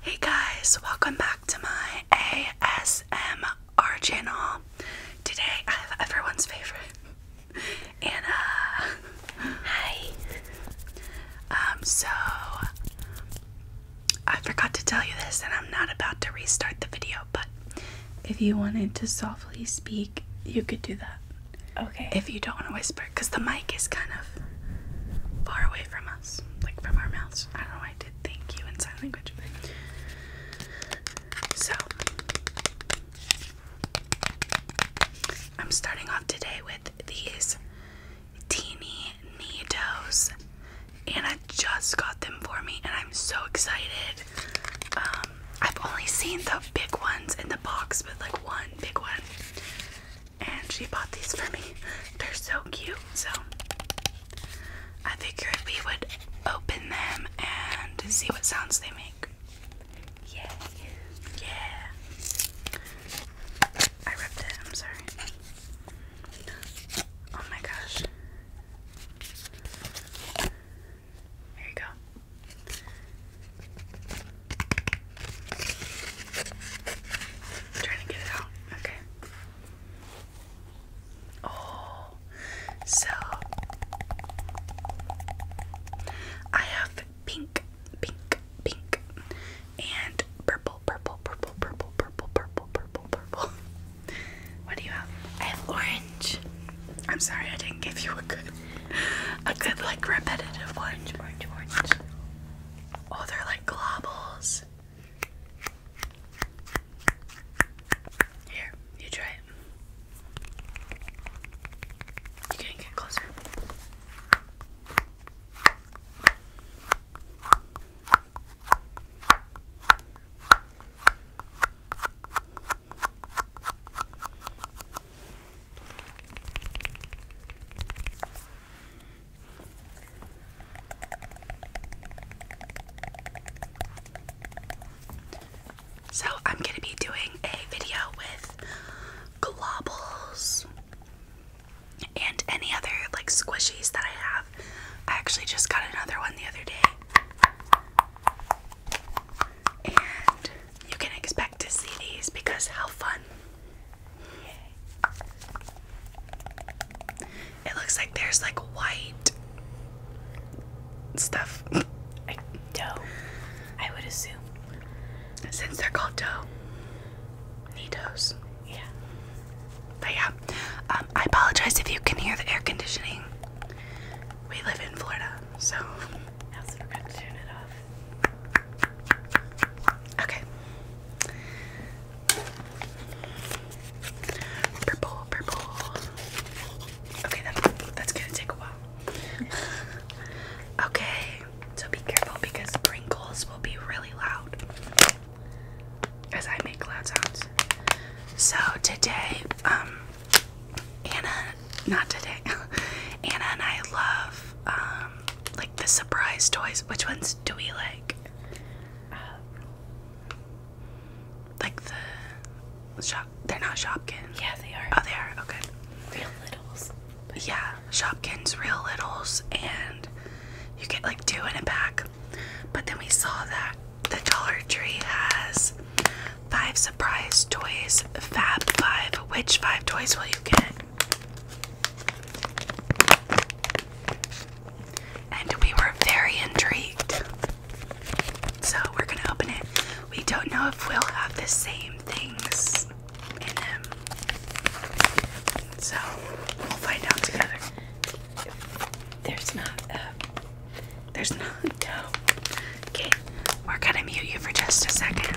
Hey guys, welcome back to my ASMR channel. Today I have everyone's favorite, Anna. Hi. Um, so I forgot to tell you this, and I'm not about to restart the video, but if you wanted to softly speak, you could do that. Okay. If you don't want to whisper, because the mic is kind of far away from us like from our mouths. I don't know I did thank you in sign language. So, I'm starting off today with these teeny and I just got them for me, and I'm so excited. Um, I've only seen the big ones in the box, but like one big one and she bought these for me. They're so cute, so I figured we would open them and see what sounds they make. Yeah, yeah. I ripped it. I'm sorry. Oh my gosh. Here you go i trying to get it out. Okay. Oh, so I have pink, pink, pink, and purple, purple, purple, purple, purple, purple, purple, purple. What do you have? I have orange. I'm sorry I didn't give you a good, a good like repetitive orange, orange, orange. Oh, they're like globules. Here, you try it. You can get closer. So, I'm going to be doing a video with globbles and any other like squishies that I have. I actually just got another one the other day. And you can expect to see these because how fun. It looks like there's like white stuff. I, dough, I would assume. Since they're called dough, Nitos. Yeah. But yeah, um, I apologize if you can hear the air conditioning. We live in Florida, so. Okay. Purple, purple. Okay, that's gonna take a while. okay, so be careful because sprinkles will be really loud as I make loud sounds. So today, um, Anna, not today, Anna and I love um, like the surprise toys. Which ones do we like? Um, like the shop? They're not Shopkins. Yeah, they are. Oh, they are. Okay. Real Littles. Yeah, Shopkins, Real Littles, and you get like two in a pack. But then we saw that the Dollar Tree has five surprise toys. Fab Five. Which five toys will you get? And we were very intrigued. So we're gonna open it. We don't know if we'll have the same things in them. So we'll find out together. There's not a. Uh, there's not no. Okay, we're gonna mute you for just a second.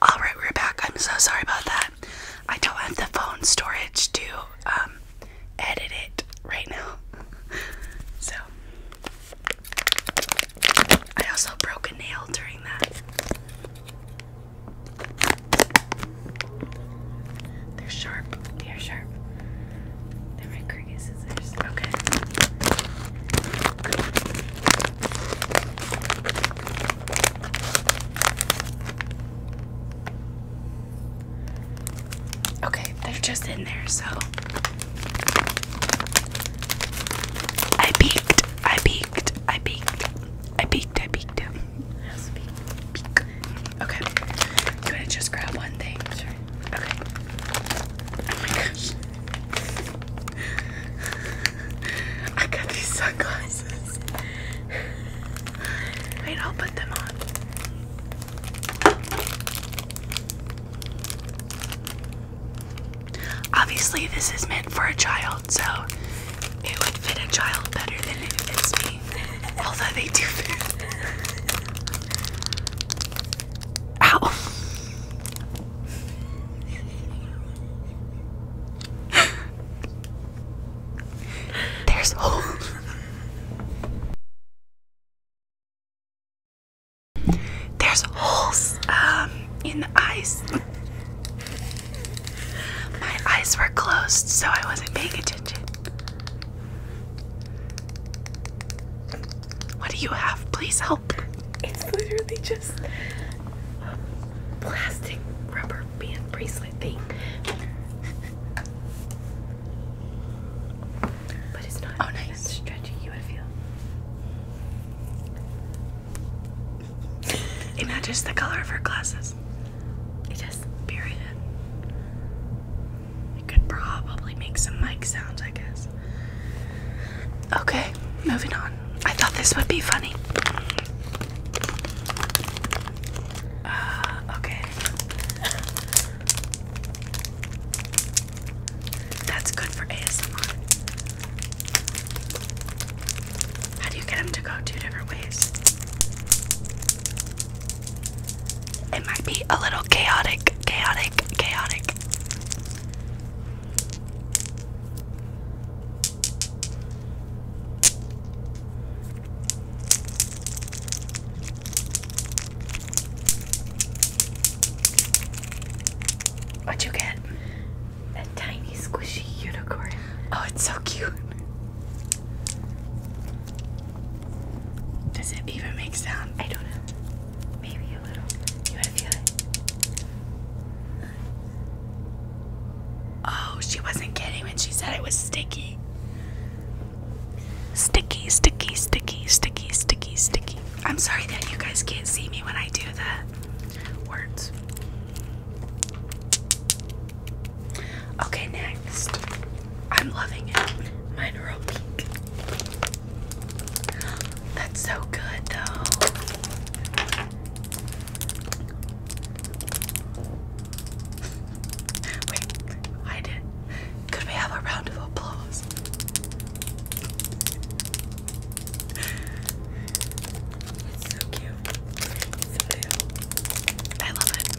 All right, we're back. I'm so sorry about that. I don't have the phone storage to um, edit it right now. so I also broke a nail during that. They're sharp. They are sharp. They're my cricket scissors. Okay. Okay, they're just in there, so I peeked, I peeked, I peeked, I peeked, I peeked. Okay. You want to just grab one thing? Okay. Oh my gosh. I got these sunglasses. Wait, I'll put them on. Obviously, this is meant for a child, so it would fit a child better than it fits me. Although they do Ow. There's holes. There's holes um, in the eyes. My eyes were closed, so I wasn't paying attention. What do you have? Please help. It's literally just a plastic rubber band bracelet thing. But it's not oh, nice. stretchy, you would feel. and that is the color of her glasses. It is, period. I could probably make some mic sounds, I guess. Okay, moving on. I thought this would be funny. Uh, okay. That's good for ASMR. How do you get them to go two different ways? It might be a little chaotic, chaotic, chaotic. What'd you get? A tiny squishy unicorn. Oh, it's so cute. Does it even make sound? I don't know. Maybe a little. You feel it? Oh, she wasn't kidding when she said it was sticky. Sticky, sticky, sticky, sticky, sticky, sticky. I'm sorry that you guys can't see me when I do the words. Okay, next. I'm loving it. Mine pink. That's so good, though. Wait, I did. Could we have a round of applause? so cute. so cute. I love it.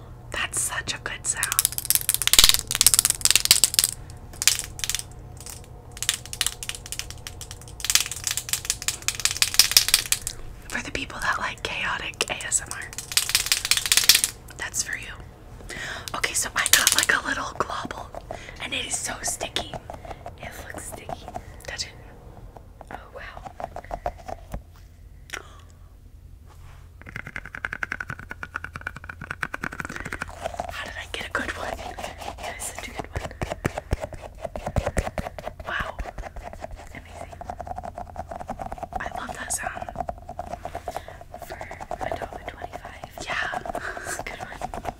That's such a good sound. For the people that like chaotic ASMR, that's for you. Okay, so I got like a little globble and it is so sticky. It looks sticky. Touch it. Oh wow. How did I get a good one? That is such a good one. Wow. I love that sound. For a dollar twenty-five. Yeah. good one.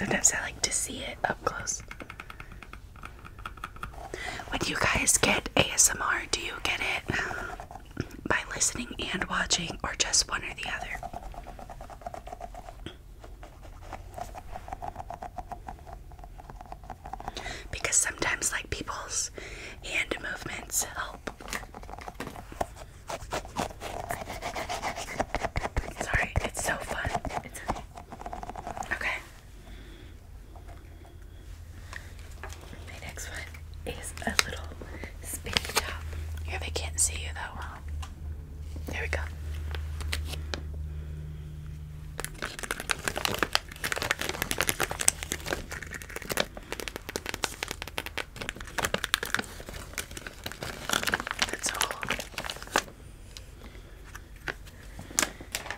Sometimes I like to see it up close. When you guys get ASMR, do you get it by listening and watching, or just one or the other? Because sometimes, like, people's hand movements help Sorry, it's so fun. It's okay. My next one is a little spinning top. Yeah, they can't see you that well. There we go.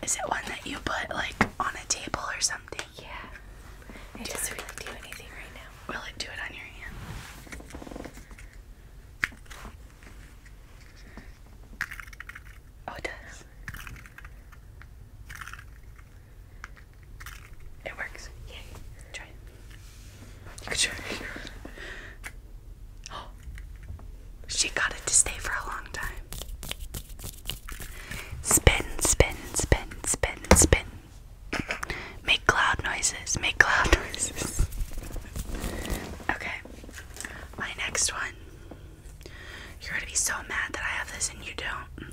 Is it one that you put like on a table or something? Yeah. doesn't really do anything right now. Will it do it on your hand? Oh, it does. It works. Yay. Try it. You try Oh. She got it to stay for a long time. Spin, spin, spin, spin, spin. Make loud noises. Make loud noises. okay. My next one. You're gonna be so mad that I have this and you don't.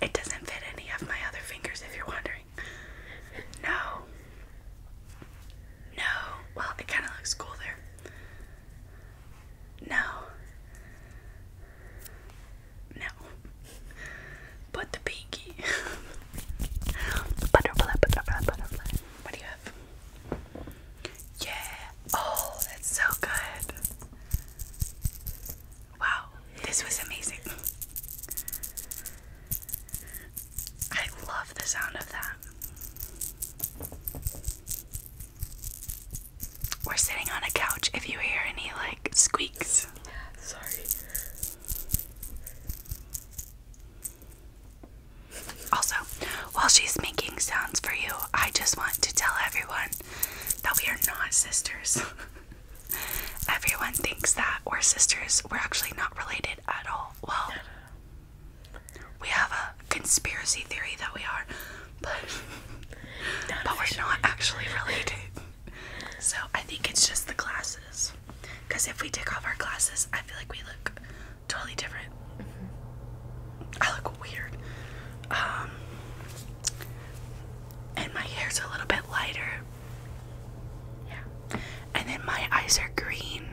it doesn't fit any of my other fingers if you're wondering. No. No. Well, it kind of looks cool there. No. No. But the pinky. butterfly, butterfly, butterfly. What do you have? Yeah. Oh, that's so good. Wow, this was amazing. I love the sound of that. We're sitting on a couch if you hear any like squeaks. Sorry. Also, while she's making sounds for you, I just want to tell everyone that we are not sisters. everyone thinks that we're sisters. We're actually not related at all. Well, we have a conspiracy theory that we are, but but we're not actually related. So I think it's just the glasses. Because if we take off our glasses, I feel like we look totally different. Mm-hmm. I look weird. Um, and my hair's a little bit lighter. Yeah. And then my eyes are green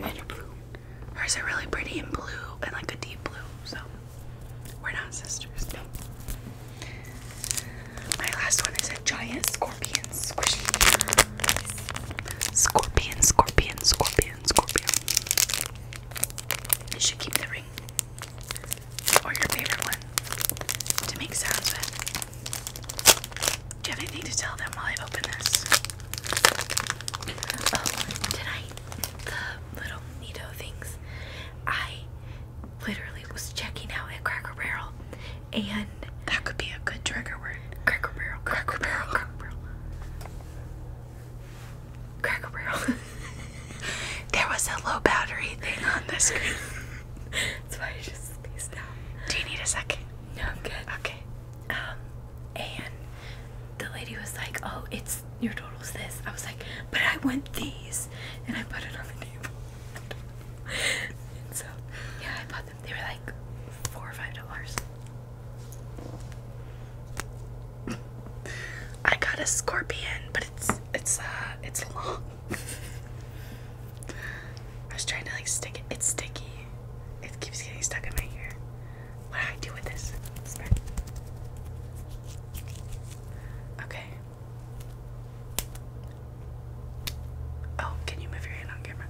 and blue. Hers are really pretty and blue and like a deep blue. So we're not sisters. My last one is a giant scorpion squishy. Scorpion, scorpion, scorpion, scorpion. You should keep the ring or your favorite one to make sounds with. Do you have anything to tell them while I open this? Oh, tonight, the little Neato things. I literally was checking out at Cracker Barrel and that could be a good trigger word. Cracker Barrel, Cracker Barrel, Cracker Barrel. Cracker Barrel. there was a low battery thing on the screen. That's why I just spaced out. Do you need a second? No, I'm good. Okay. Um, and the lady was like, "Oh, it's your total's this." I was like, "But I want these," and I put it on the table. and so, yeah, I bought they were like four or five dollars. I got a scorpion, but it's it's uh it's long. I was trying to like stick it. It's sticky. It keeps getting stuck in my ear. What do I do with this? Okay. Oh, can you move your hand on camera?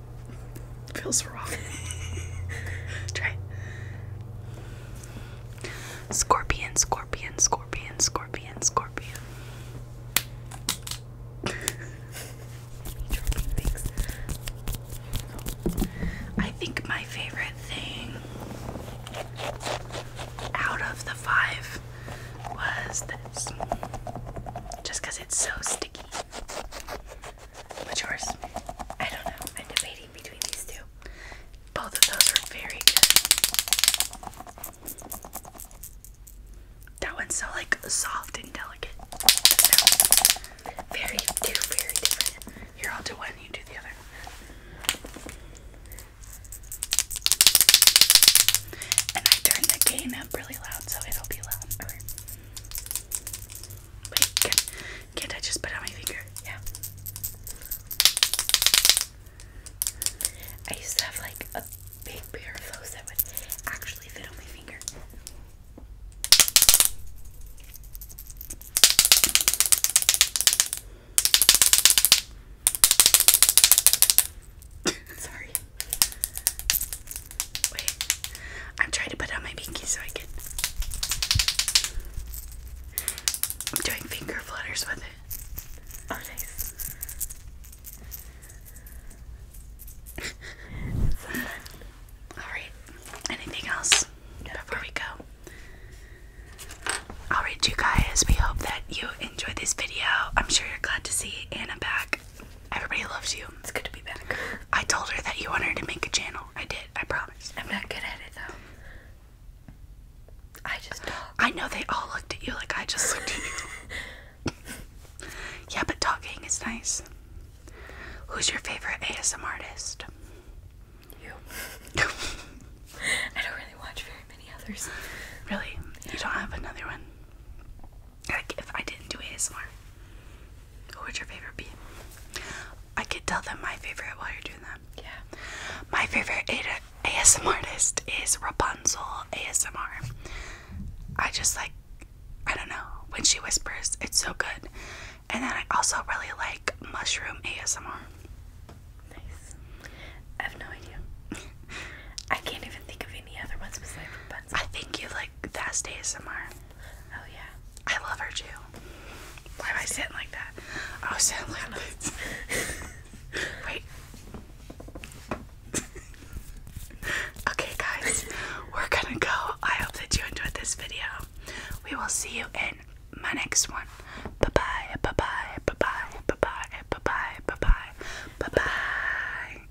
Feels wrong. Try. Scorpion, scorpion, scorpion, scorpion, scorpion. I think my favorite thing out of the five was this. Just because it's so sticky. Which yours? I don't know. I'm debating between these two. Both of those are very good. That one's so like soft and delicate. No. Very two very different. Here I'll do one, you do the other. And I turned the gain up really loud so it'll be louder can, not I just put out my finger? Yeah. I used to have like a big pair of those that would actually fit on my finger. Sorry. Wait. I'm trying to put on my pinky so I can. I'm doing finger flutters with it. Oh, nice. Alright, anything else before we go? Alright, you guys, we hope that you enjoyed this video. I'm sure you're glad to see Anna back. Everybody loves you. It's good to be back. I told her that you wanted to make a channel. I did. I promise. I'm not good at it though. I just talk. I know they all looked at you like I just looked at you. yeah, but talking is nice. Who's your favorite ASM artist? You. I don't really watch very many others. Really? Yeah. You don't have another one? Like if I didn't do ASMR, who would your favorite be? I could tell them my favorite while you're doing that. Yeah. My favorite ASMR artist is Rapunzel ASMR. I just like, I don't know, when she whispers, it's so good. And then I also really like Mushroom ASMR. Nice. I have no idea. I can't even think of any other ones besides the pencil? I think you like fast ASMR. Oh yeah. I love her too. Why am I sitting like that? Oh, sound like this. Wait. okay, guys, we're gonna go. I hope that you enjoyed this video. We will see you in my next one. Bye bye, bye bye, bye bye, bye bye, bye bye, bye bye, bye bye.